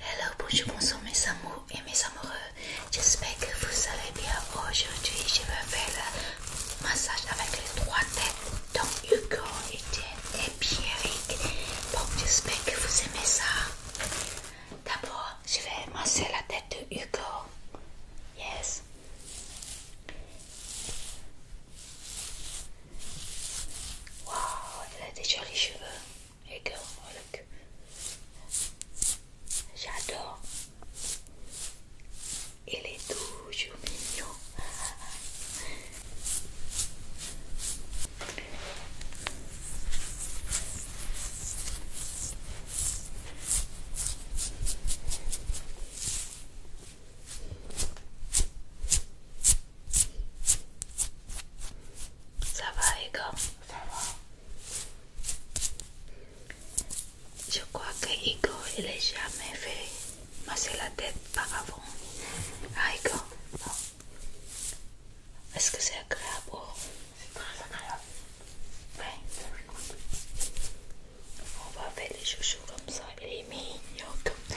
Hello, bonjour, bonsoir mes amours et mes amoureux. J'espère que vous allez bien. Aujourd'hui, je vais faire le massage avec les trois têtes. dont Hugo, Etienne et Pierrick. Bon, j'espère que vous aimez ça. D'abord, je vais masser la tête de Hugo. Yes. Wow, elle a des jolis cheveux que, oh, J'adore. Il est toujours mignon. Ça va, Igor Ça va. Je crois que Igor, il n'a jamais fait masser la tête par avant. Ah, Igor, est-ce que c'est agréable C'est très agréable. On va faire les chouchous comme ça, les mignons comme ça.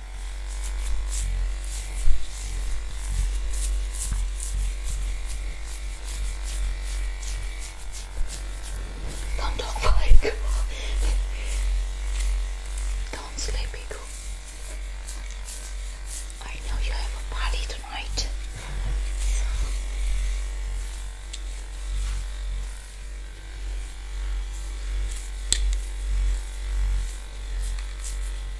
Don't talk like Don't sleep, Igu. I know you have a party tonight.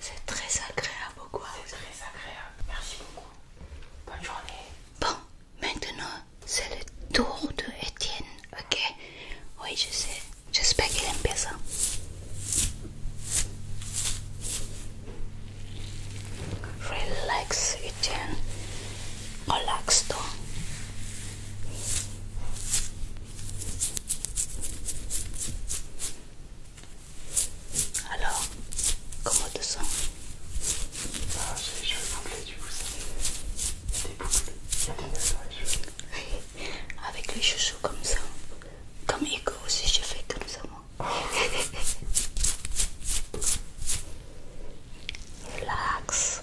C'est très agréable quoi. C'est très agréable. Merci beaucoup. Bonne journée. Bon, maintenant c'est le tour de Étienne, ok Oui, je sais. J'espère qu'il aime bien ça. Relax, Étienne. Relax-toi. Alors, comment te sens ah, J'ai les cheveux bouclés du coup, ça. des boucles, des avec les chouchous comme ça. Comme Hugo aussi, je fais comme ça moi. Relaxe Relax.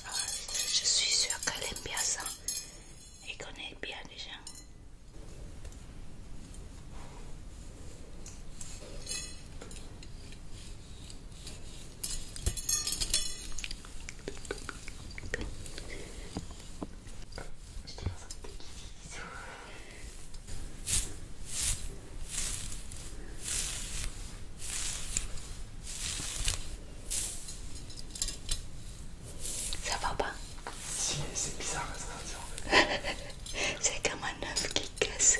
je suis sûr qu'elle aime bien ça et connaît bien les gens. Ça va pas Si, c'est bizarre c'est comme un œuf qui casse.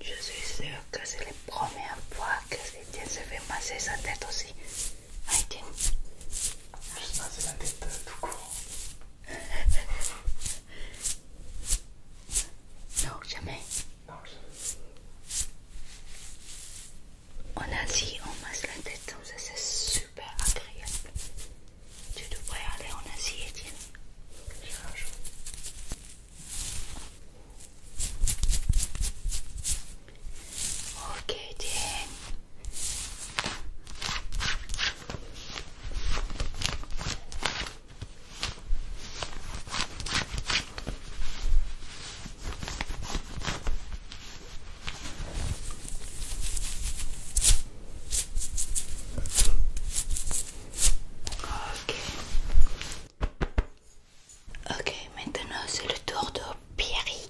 Je suis sûre que c'est la première fois que quelqu'un se fait masser sa tête aussi. Aïtien, tiens. Juste passer la tête euh, tout court. non, jamais. Non, jamais. En Asie, on masse la tête comme ça, c'est super agréable. Tu devrais aller en Asie, Etienne. Un Ok, Etienne. Ok, maintenant c'est le tour de Pierry.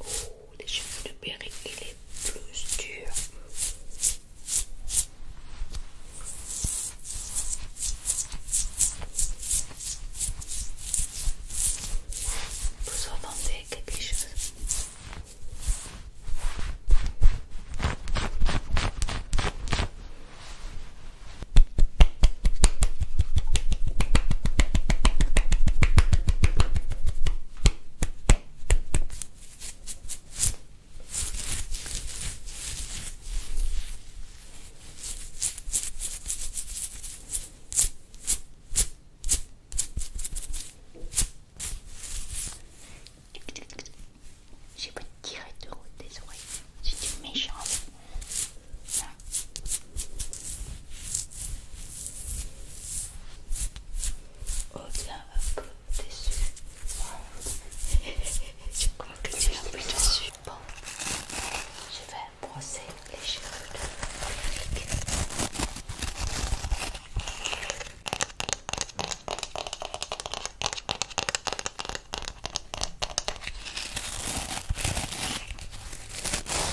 Oh, les cheveux de Berry, il est plus dur. Vous entendez quelque chose j'ai pas tiré tirer de des oreilles c'était méchant. Oh bien, hop, dessus. Je crois que tu l'as plus dessus. Bon, je vais brosser les cheveux de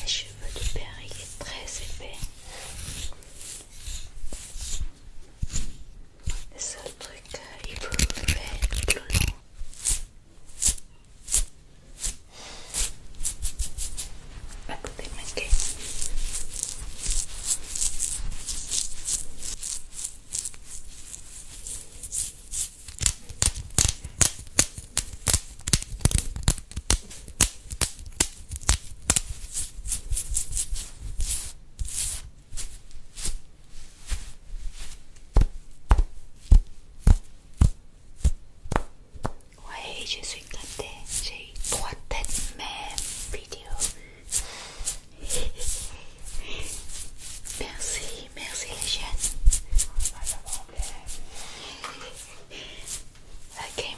Les cheveux de père, il est très épais. Le seul truc qu'il peut être plus long. Ouais, je suis gâtée, j'ai trois têtes même vidéo. merci, merci les jeunes. Ah, ok,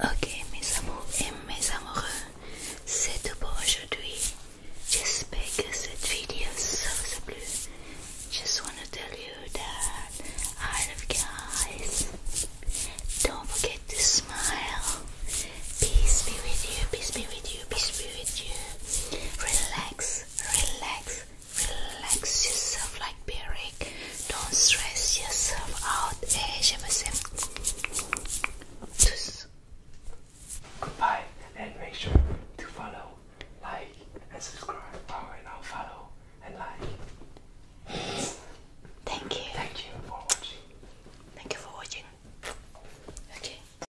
Ok mes amours mes amoureux, c'est tout pour aujourd'hui. J'espère que cette video vous a plu. Just want to tell you that I love guys. Don't forget to smile. Peace be with you, peace be with you, peace be with you. Relax relax, relax yourself like Beric. Don't stress yourself out. Eh, Just Goodbye and make sure to follow, like, and subscribe. Oh, and I'll follow and like. Thank you. Thank you for watching. Thank you for watching. Okay.